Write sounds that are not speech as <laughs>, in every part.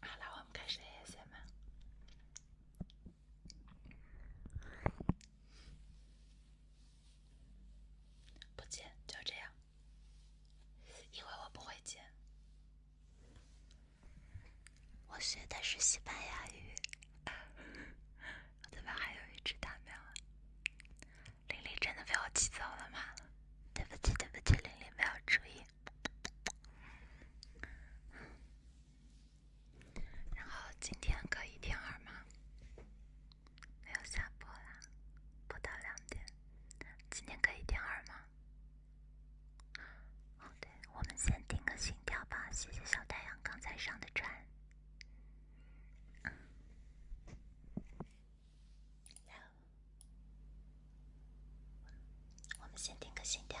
好了，我们开始。谢谢们，不剪就这样，因为我不会剪。我学的是西班牙语。我这边还有一只大喵。玲玲真的被我气走了吗？对不起，对不起，玲玲没有注意。然后今天可以听耳吗？没有下播啦，不到两点。今天可以听耳吗？好的，我们先定个心跳吧。谢谢小太阳刚才上的船。我们先听个心跳。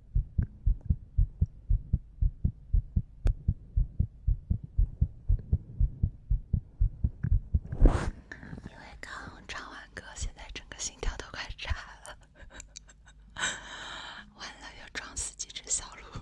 因为刚唱完歌，现在整个心跳都快炸了，<laughs> 完了要撞死几只小鹿。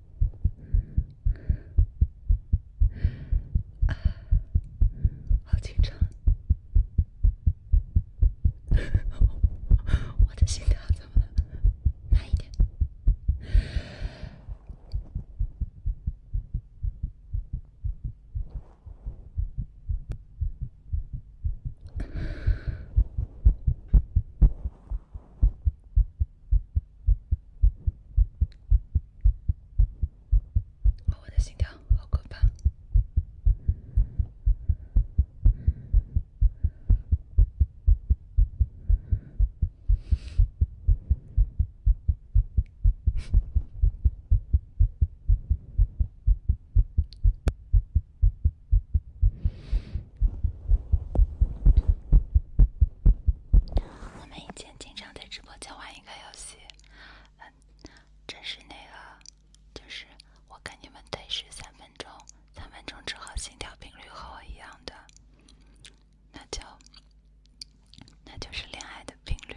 啊，好紧张！<laughs> 我的心跳怎么了？慢一点。我的心跳好可怕。我们一起。经常在直播间玩一个游戏，嗯，真是那个，就是我跟你们对视三分钟，三分钟之后心跳频率和我一样的，那就那就是恋爱的频率。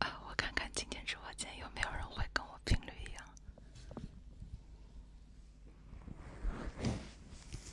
啊，我看看今天直播间有没有人会跟我频率一样。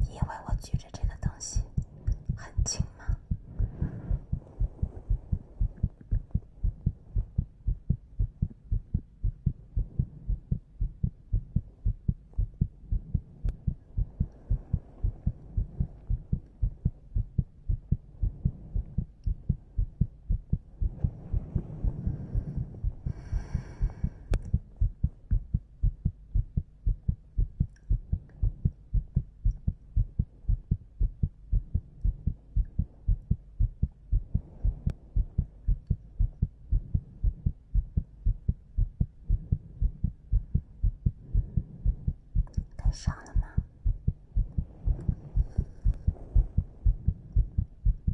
你以为我举着这个东西很轻吗？上了吗？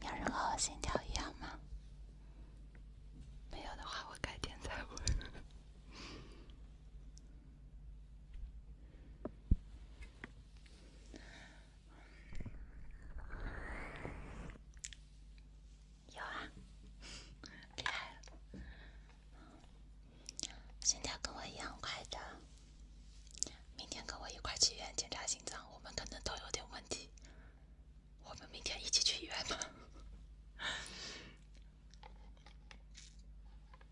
别人和我心跳一样吗？没有的话，我改天再问。有啊，对。心跳跟我一样快的，明天跟我一块去医院检查心脏，我们可能都有点问题。我们明天一起去医院吗？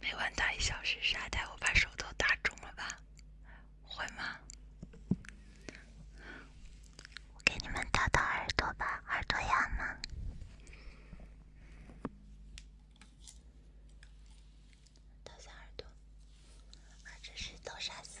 每晚打一小时沙袋，我把手都打肿了吧？会吗？我给你们打打耳朵吧，耳朵痒吗？打下耳朵，啊，这是豆沙色。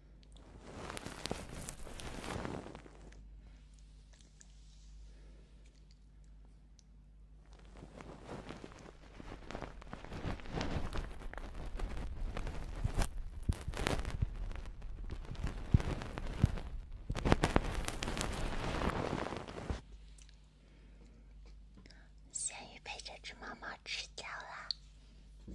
咸鱼被这只猫猫吃掉了。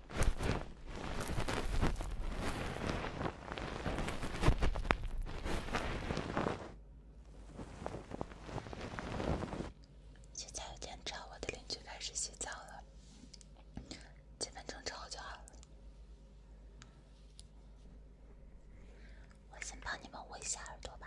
现在有点吵，我的邻居开始洗澡了。几分钟之后就好了。我先帮你们捂一下耳朵吧。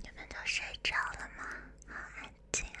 你们都睡着了吗？好安静啊。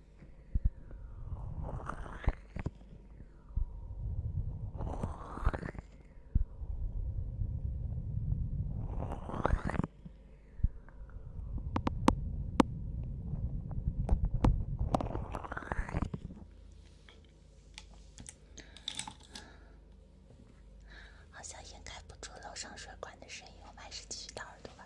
好像掩盖不住楼上水管的声音，我们还是继续戴耳朵吧。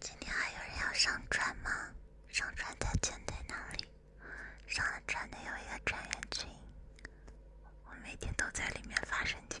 今天还有人要上船吗？上船的群在哪里？上了船的有一个船员群，我每天都在里面发神经。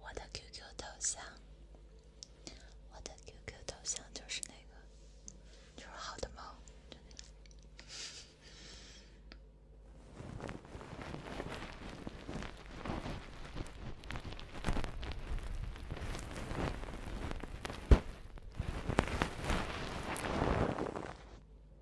我的 QQ 头像，我的 QQ 头像就是那个，就是好的猫。就那个。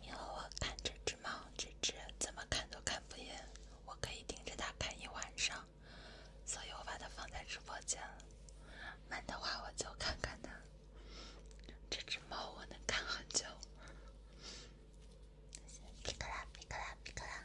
你和我看这只猫，这只怎么看都看不厌。我可以盯着它看一晚上，所以我把它放在直播间了。慢的话我就看看它。这只猫我能看很久。皮可拉，皮可拉，皮可拉。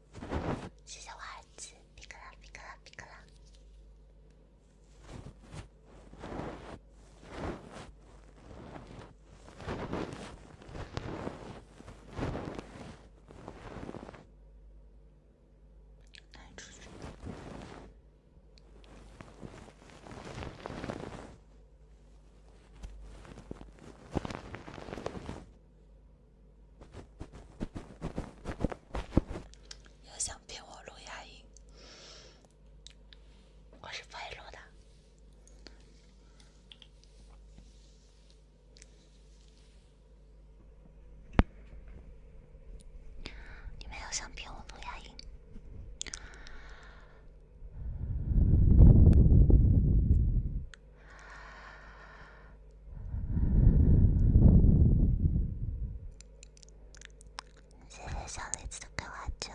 谢谢我儿子，皮克啦皮克啦皮克啦，又想骗我录牙音，我是不会录的。你们又想骗我录牙音？谢谢小栗子的夸奖。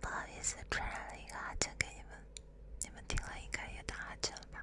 不好意思，传染了一个阿欠给你们，你们听了应该也打哈欠了吧？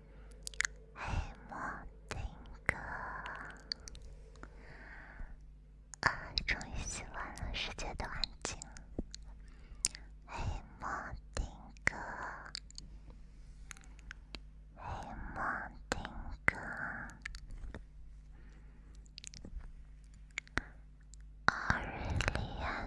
嘿，莫丁哥，啊，终于洗完了，世界都安静了。嘿，莫丁哥，嘿，莫丁哥，奥利维亚。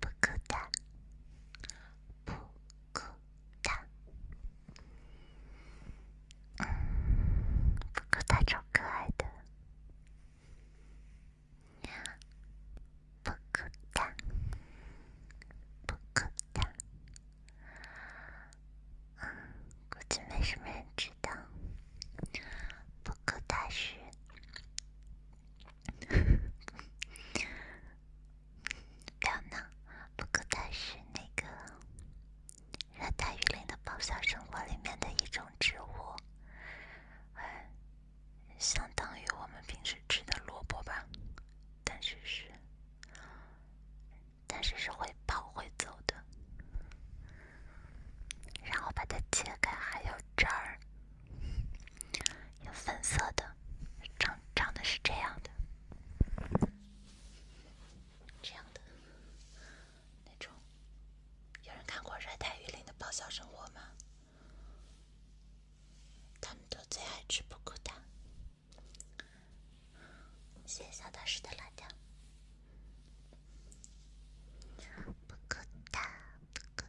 不谷达，不谷达，嗯，布谷达超可爱的，呀，布谷达，布谷达，估计没什么人知道，不谷达是。表 <laughs> 呢？不过它是那个热带雨林的跑下生活里面的一种植物，相当于我们平时吃的萝卜吧，但是是，但是是会跑会走的，然后把它切开还有汁儿。有粉色的，长长得是这样的，这样的那种。有人看过热带雨林的爆笑生活吗？他们都最爱吃布谷蛋。谢谢小道士的辣椒。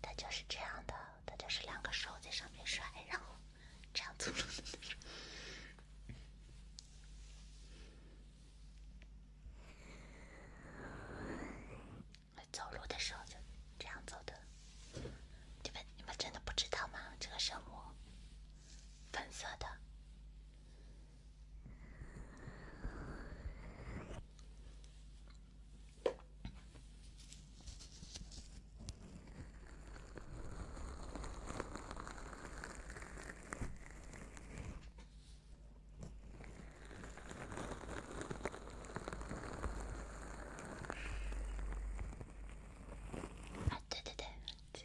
他就是这样的，他就是两个手在上面甩，然后这样走路走路的时候就这样走的。你们你们真的不知道吗？这个生物，粉色的。あっちであっち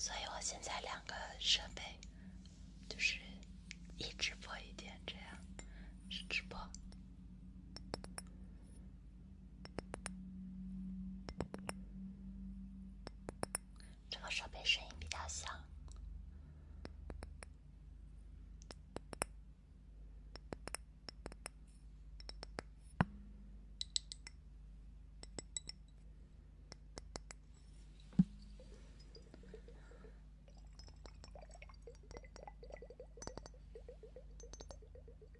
所以，我现在两个设备，就是一直播一点这样，是直播。这个设备声音比较小。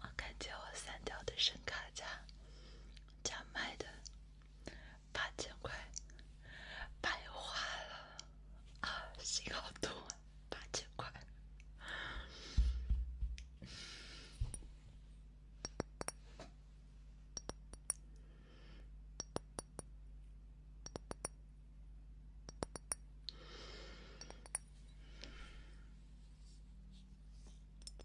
我感觉我三条的声卡加加麦的八千块白花了啊，心好痛，八千块。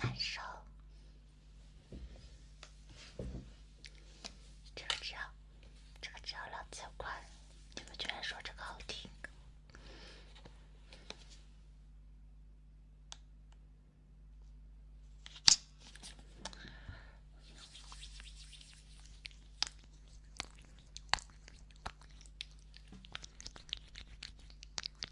难受，这个只要，这个只要两九块，你们居然说这个好听。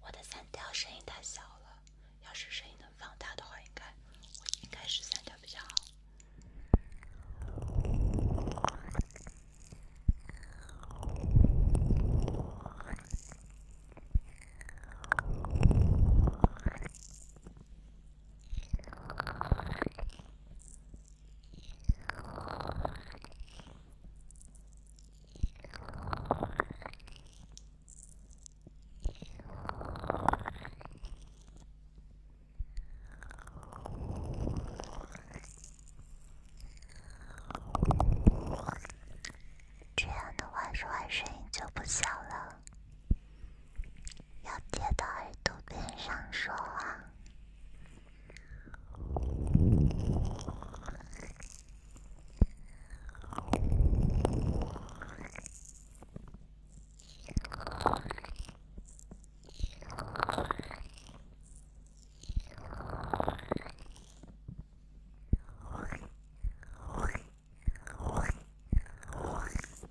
我的三条声音太小了，要是声音能放大的话，应该我应该是三条比较好。这样的话，说声音就不小了。要贴到耳朵边上说话。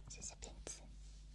谢谢瓶子。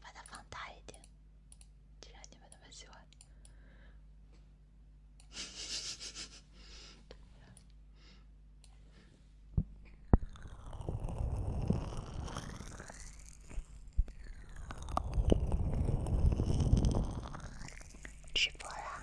把它放大一点，既然你们那么喜欢，直播啦！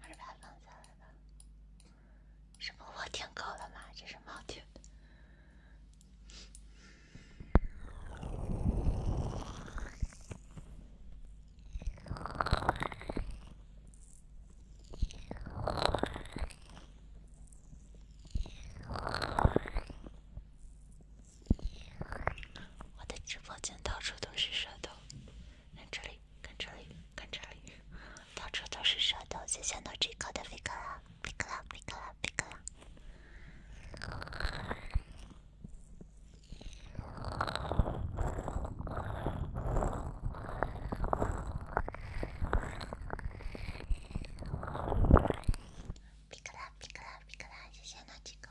还是把它放下来吧。什么？我听够了吗？这是猫舔的。我的直播间到处都是舌头，连这里。看这里，看这里，到处都是舌头。谢谢诺基亚的皮卡啦，皮卡啦，皮卡啦，皮卡啦，皮卡啦，皮卡啦，谢谢诺基亚。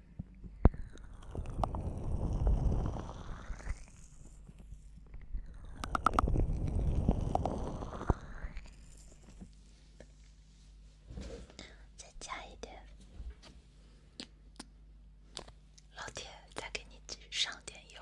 再加一点，老铁，再给你上点油。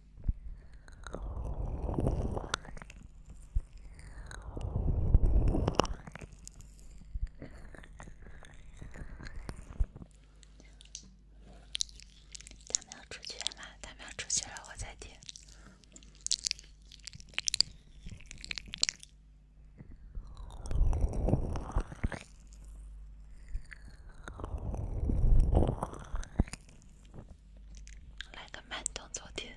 他们要出去了吗？他们要出去了，我才听。来个慢动作点。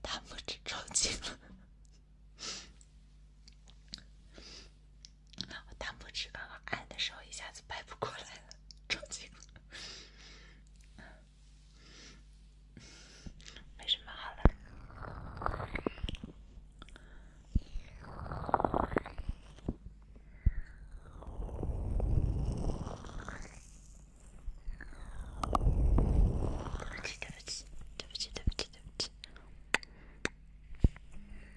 大拇指抽筋了，我 <laughs> 大拇指刚刚按的时候，一下子掰不过来了。<laughs> 超级，没什么好的。对不起对不起对不起对不起。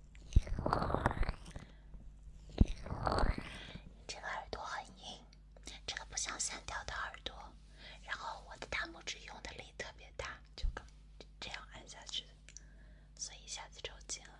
这个耳朵很硬，这个不像线条的耳朵。然后我的大拇指用的力特别大，就刚这样按下去，所以一下子抽筋了。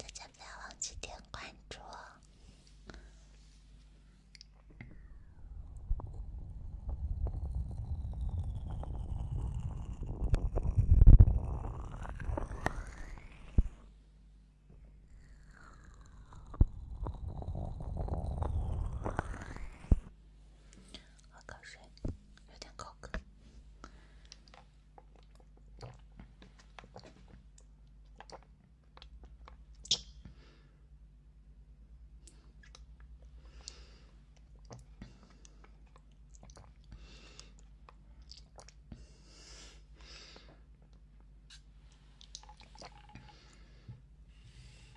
大家不要忘记点关注哦。喝口水，有点口渴。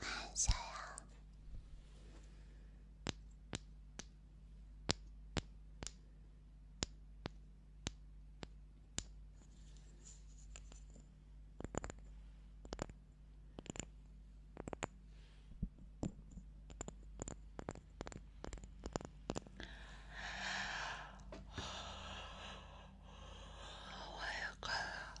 晚上好，我也困了。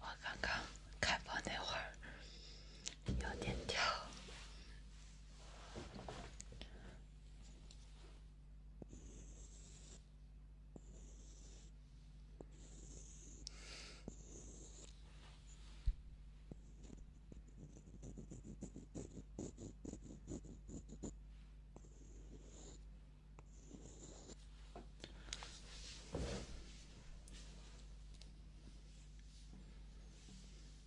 我刚刚开播那会儿。有点跳。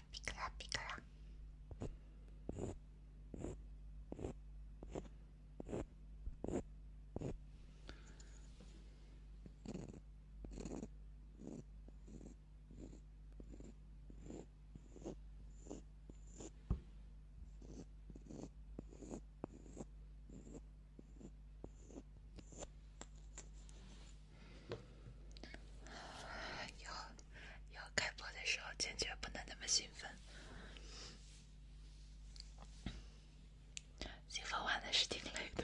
ラピクラピクラ以后，以后开播的时候坚决不能那么兴奋，兴奋玩的是挺累的。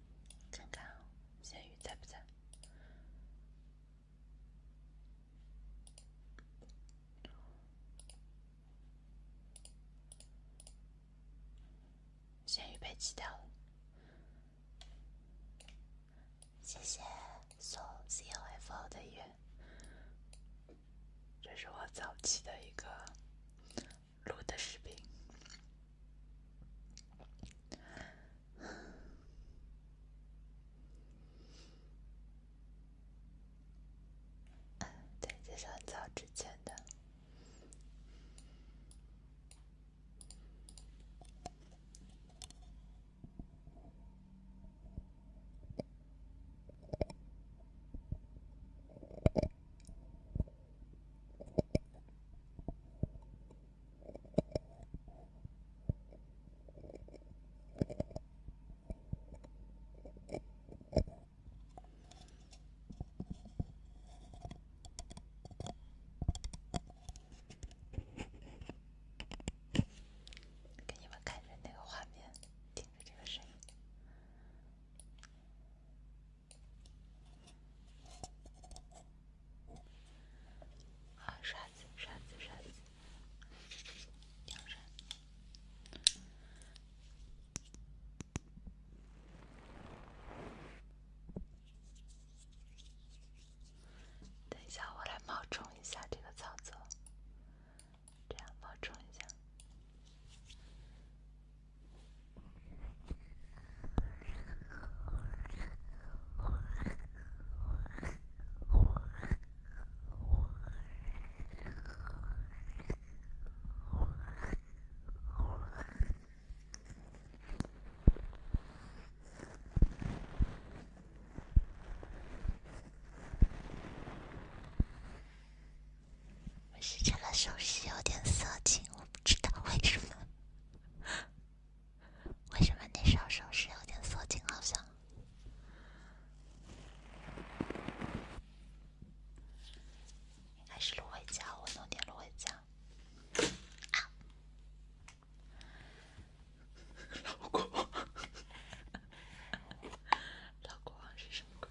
看看，咸鱼在不在？咸鱼被踢掉了。谢谢送 C O F O 的月，这是我早期的一个。录的视频，对，这是很早之前的。给你们看着那个画面，听着这个声音。好，刷子，刷子，刷子，养生。等一下，我来冒充一下这个操作，这样冒充一下。我是这个手势有点色情，我不知道为什么。<laughs> 为什么你上手势有点色情？好像应该是芦荟胶，我弄点芦荟胶。啊，老国老国是什么鬼？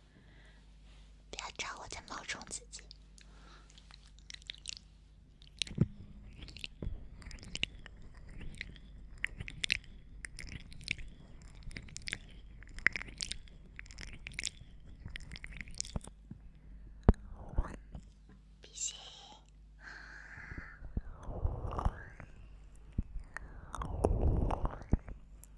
别找我，在冒充自己。闭嘴。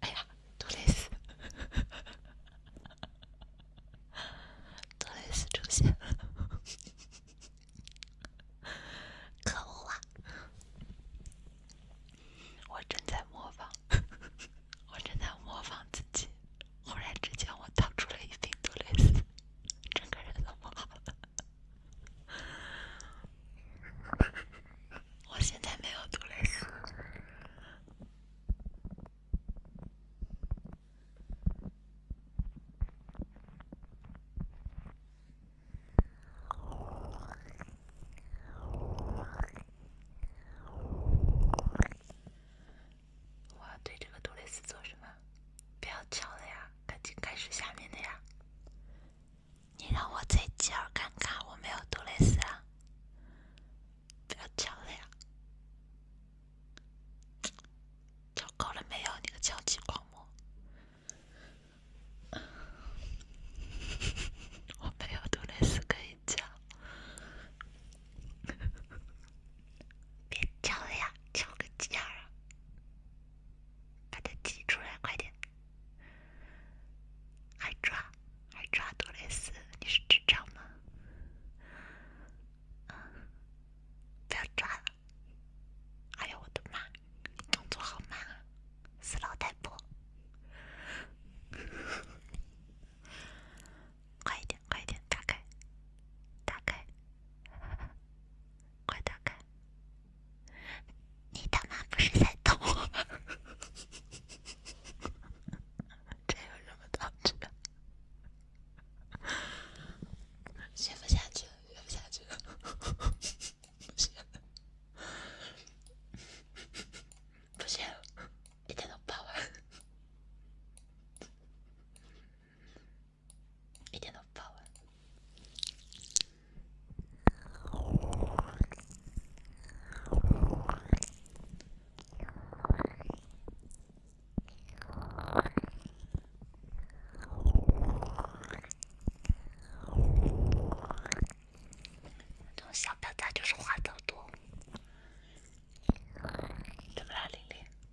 哎呀，杜蕾斯，杜蕾斯出现，可恶啊！我正在模仿，我正在模仿自己。忽然之间，我掏出了一瓶杜蕾斯，整个人都不好了。我现在没有杜蕾斯。我要对这个杜蕾斯做什么？不要敲了呀，赶紧开始下面的呀！你让我再讲看看，我没有杜蕾斯啊！不要敲了呀，找够了没有？你个敲击狂魔，<laughs> 我没有杜蕾斯可以敲。别叫了呀，叫个鸡儿啊！把它挤出来，快点！还抓，还抓多蕾斯？你是智障吗？不要抓了！哎呀，我的妈！动作好慢啊，死老太婆！<laughs> 快一点，快一点，打开，打开！快打开！你他妈不是在逗我？这 <laughs> 有什么难的？学不下去了，学不下去了！<laughs> 不行，不行，你得弄爆我！一点都不好玩。这种小表仔就是话多多，怎么啦，玲玲？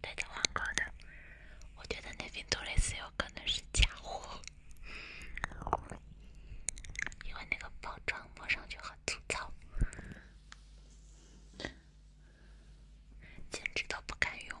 对的，网购的，我觉得那瓶多瑞斯有可能是假货，因为那个包装摸上去很粗糙，简直都不敢用。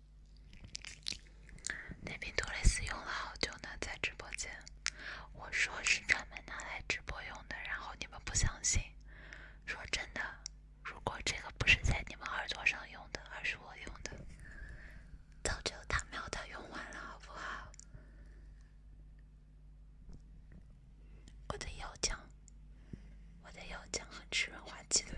那瓶杜蕾斯用了好久呢，在直播间，我说是专门拿来直播用的，然后你们不相信。说真的，如果这个不是在你们耳朵上用的，而是我用的，早就他喵的用完了，好不好？我的油浆，我的油浆很吃润滑剂的。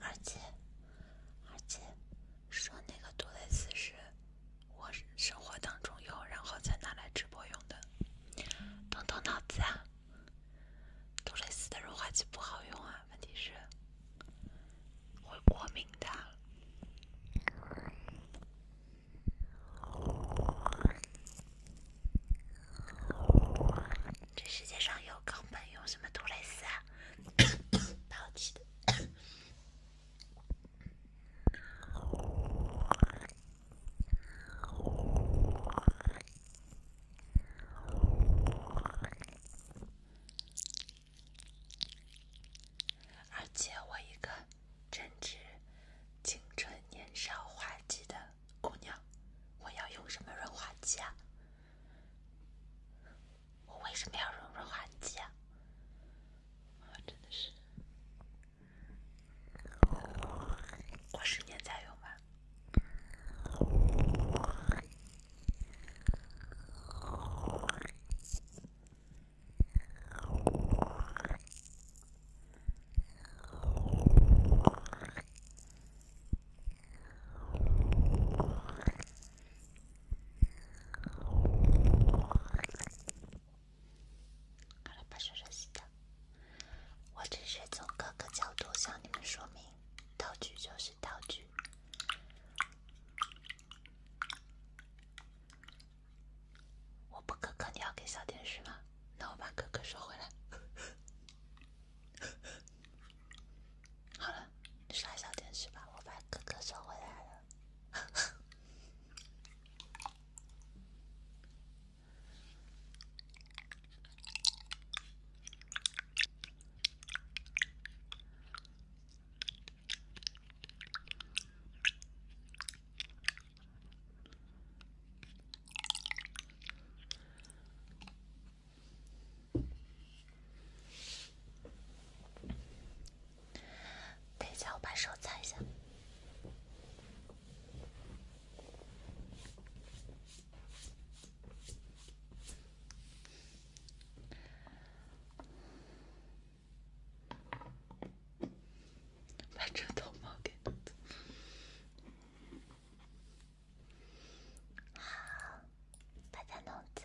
而且，而且，说那个杜蕾斯是，我生活当中用，然后再拿来直播用的。动动脑子，杜蕾斯的润滑剂不好用啊。问题是会过敏的。这世界上有钢板用什么杜蕾斯？老气的。而且我一个正值青春年少、花季的姑娘，我要用什么润滑剂啊？我为什么要用润滑剂啊？真的是，过十年再用吧。我只是从各个角度向你们说明，道具就是道具。我不哥哥，你要给小天使吗？那我把哥哥收回来。<laughs> 好了，刷小天使吧，我把哥哥收回来了。等一下，我把手擦一下。把这头毛给好，把它弄走。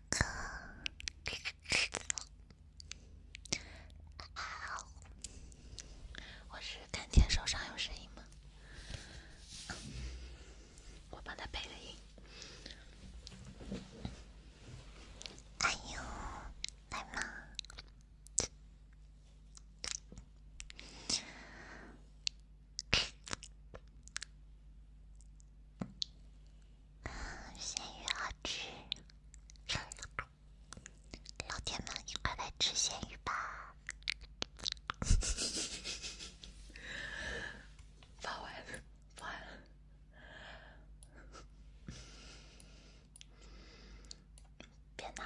我是甘甜，手上有声音吗？我帮他配个音。哎呦，来吗？嗯，咸鱼好吃，老铁们一块来吃咸鱼吧！<laughs> 发完了，发完了，别闹，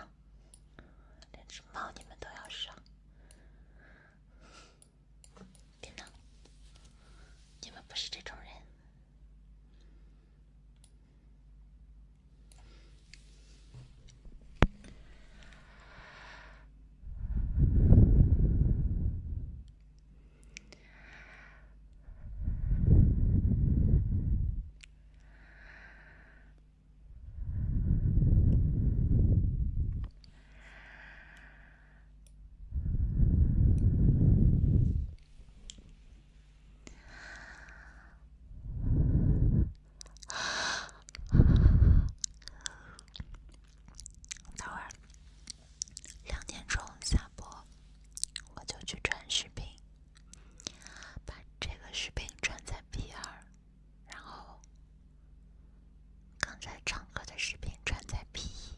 连只猫你们都要上。别闹！你们不是这种人。等会两点钟下播，我就去转视频，把这个视频转在 P 二，然后刚才唱歌的视频转在 P 一。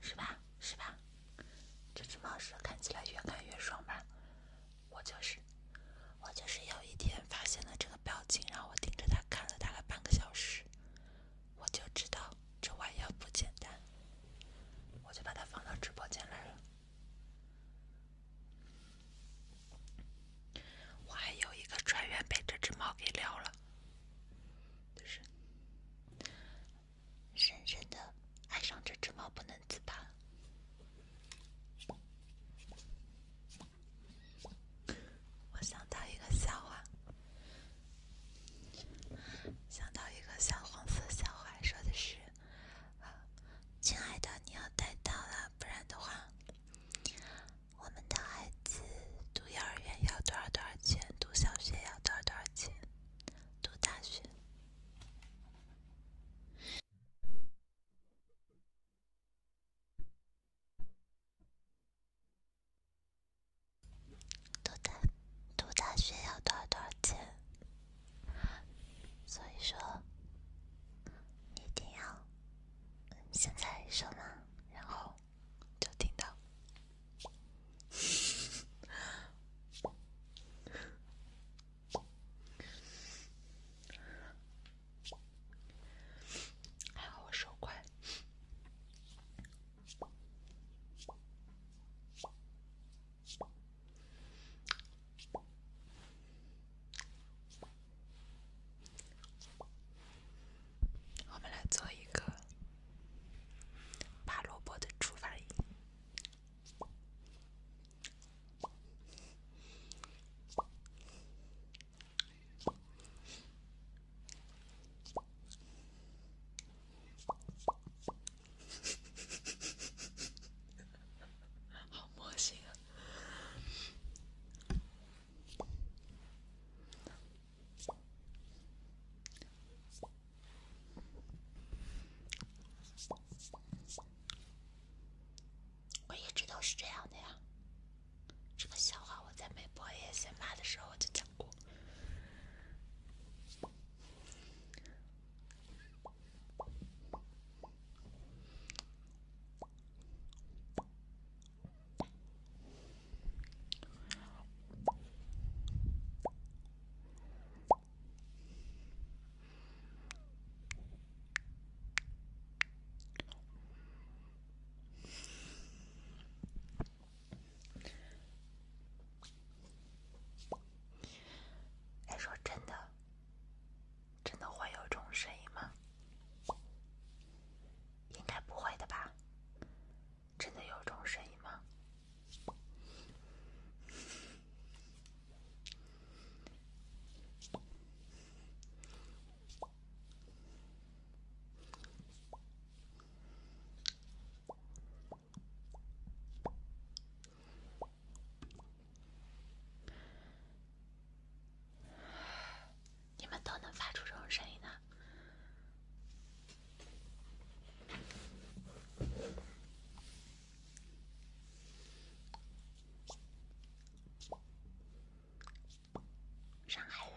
是吧是吧，这只猫蛇看起来越看越爽吧？我就是，我就是有一天发现了这个表情，让我盯着它看了大概半个小时，我就知道这玩意儿不简单，我就把它放到直播间来了。我还有一个船员被这只猫给撩了，深深的爱上这只猫，不能自拔。我想到一个笑话，想到一个小黄色笑话，说的是：亲爱的，你要带到了，不然的话。我们的孩子读幼儿园要多少多少钱？读小学要多少多少钱？读大学，读大读大学要多少多少钱？所以说，你一定要。现在说吗？然后就听到，还好我手快。我们来做一个拔萝卜的出发音，好魔性啊！我一直都是这样的呀，这个笑话我在没播夜先骂的时候我就讲过。哎，说真的。真的会有这种声音吗？应该不会的吧？真的有这种声音吗？你们都能发出这种声音呢？上海人。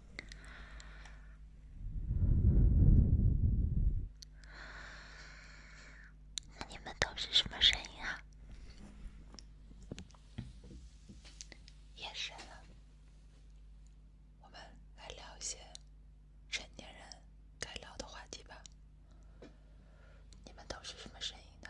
那你们都是什么声音啊？夜深了，我们来聊一些成年人该聊的话题吧。你们都是什么声音呢？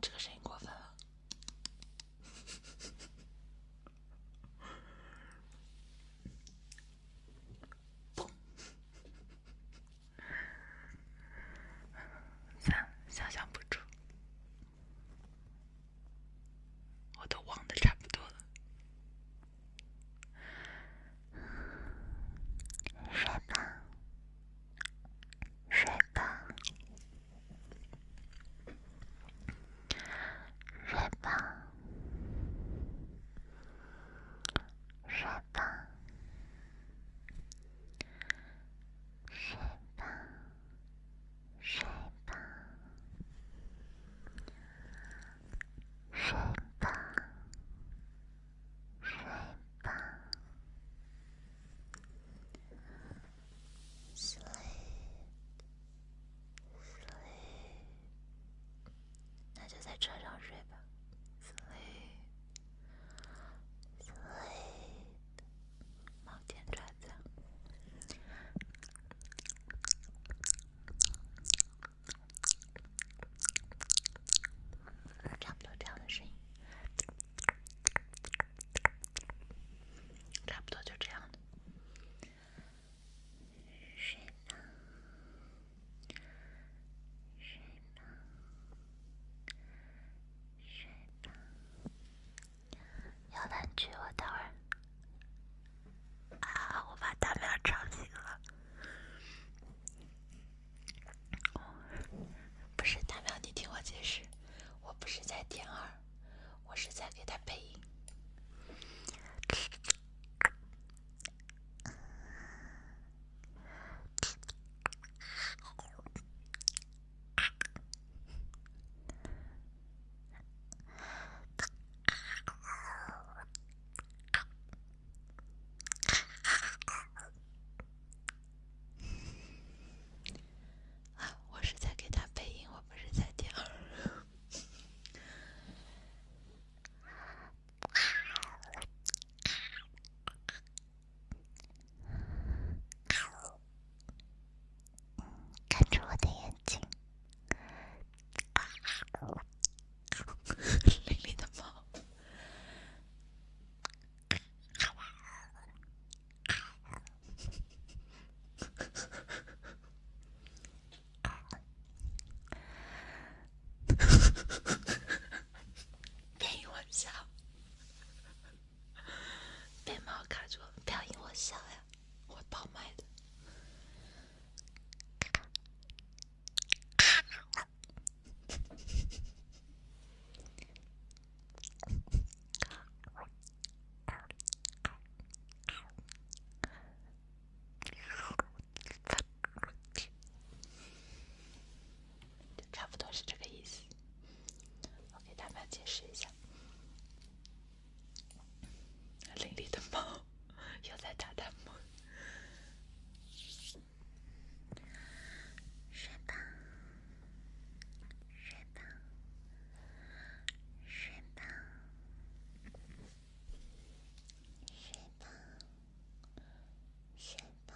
这个声音过分了。三，想象不出，我都忘的差不多了。上哪？睡吧，睡吧，睡吧，睡吧，睡吧，睡吧。睡吧 s l 那就在车上睡吧，sleep s l 差不多这样的声音。差不多就这样的，睡吧，睡吧，睡吧。摇篮曲，我待会儿啊，我把他们吵醒了。不是大喵，你听我解释，我不是在听耳，我是在给他配音。啊！<laughs> 我是在给他配音，我不是在听。看着我的眼睛，玲 <laughs> 玲的猫。别因我笑，别把我卡住，不要因我笑呀，会爆麦的。差不多是这个意思。我给大家解释一下，<laughs> 打他们。睡吧，睡吧，睡吧，睡吧，睡吧，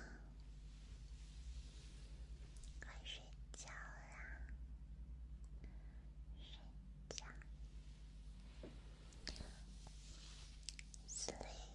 快睡觉啦！睡觉，sleep。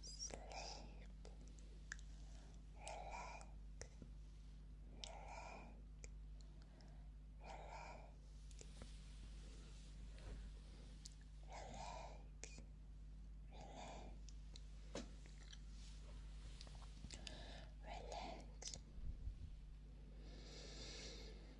Sleep, relax, relax, relax, relax, relax. Relax.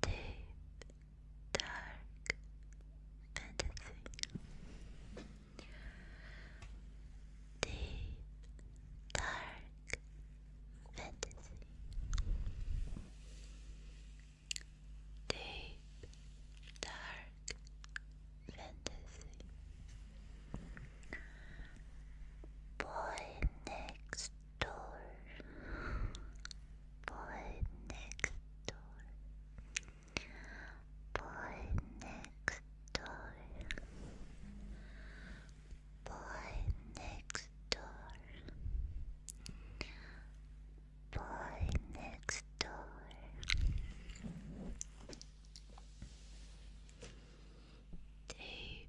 deep, dark fantasy. Deep, dark fantasy. Deep, dark fantasy. Boy next door. Boy next door. Boy next door. Boy next door. Boy next door. Deep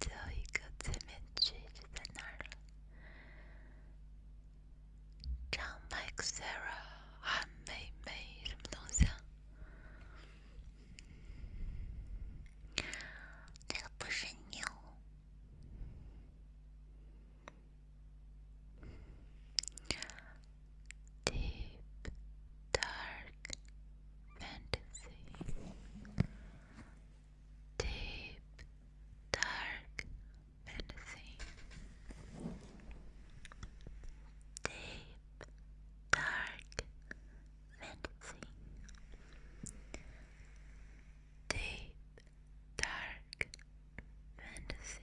最后一个催面曲就在那儿了。唱 Mike Sarah 暗梅梅什么东西？那个不是牛。d e e fantasy, deep, dark fantasy, deep, dark fantasy, deep, dark fantasy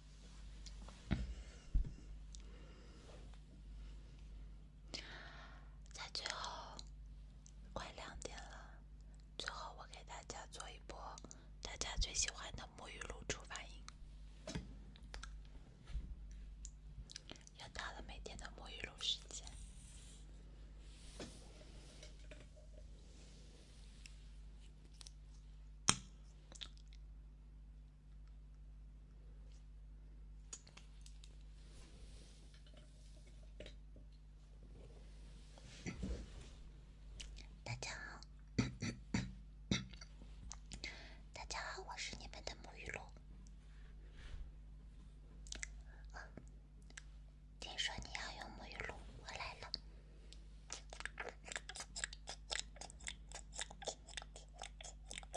在最后，快两点了，最后我给大家做一波大家最喜欢的沐浴露出反应。要到了每天的沐浴露时间。大家好，<coughs> 大家好，我是你们的沐浴露。听说你要用沐浴露，我来了。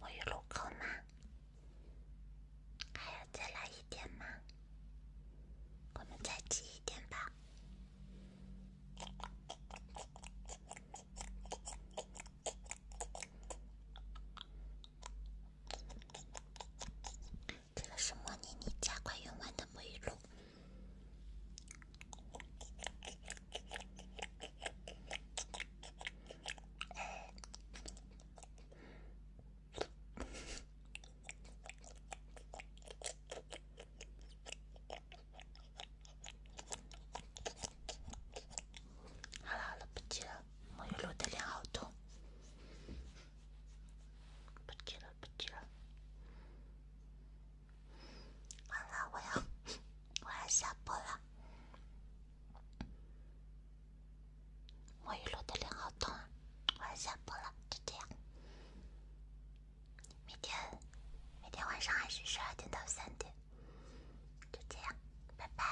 位于路口吗？还要再来一点吗？我们再挤一点吧。这个是莫妮妮家快用完的沐浴露。好了好了，不挤了。沐浴露的脸好痛。不接了，不接了。完了，我要我要下播了。沐浴露的脸好痛啊！我要下播了，就这样。明天，明天晚上还是十二点到三点，就这样，拜拜。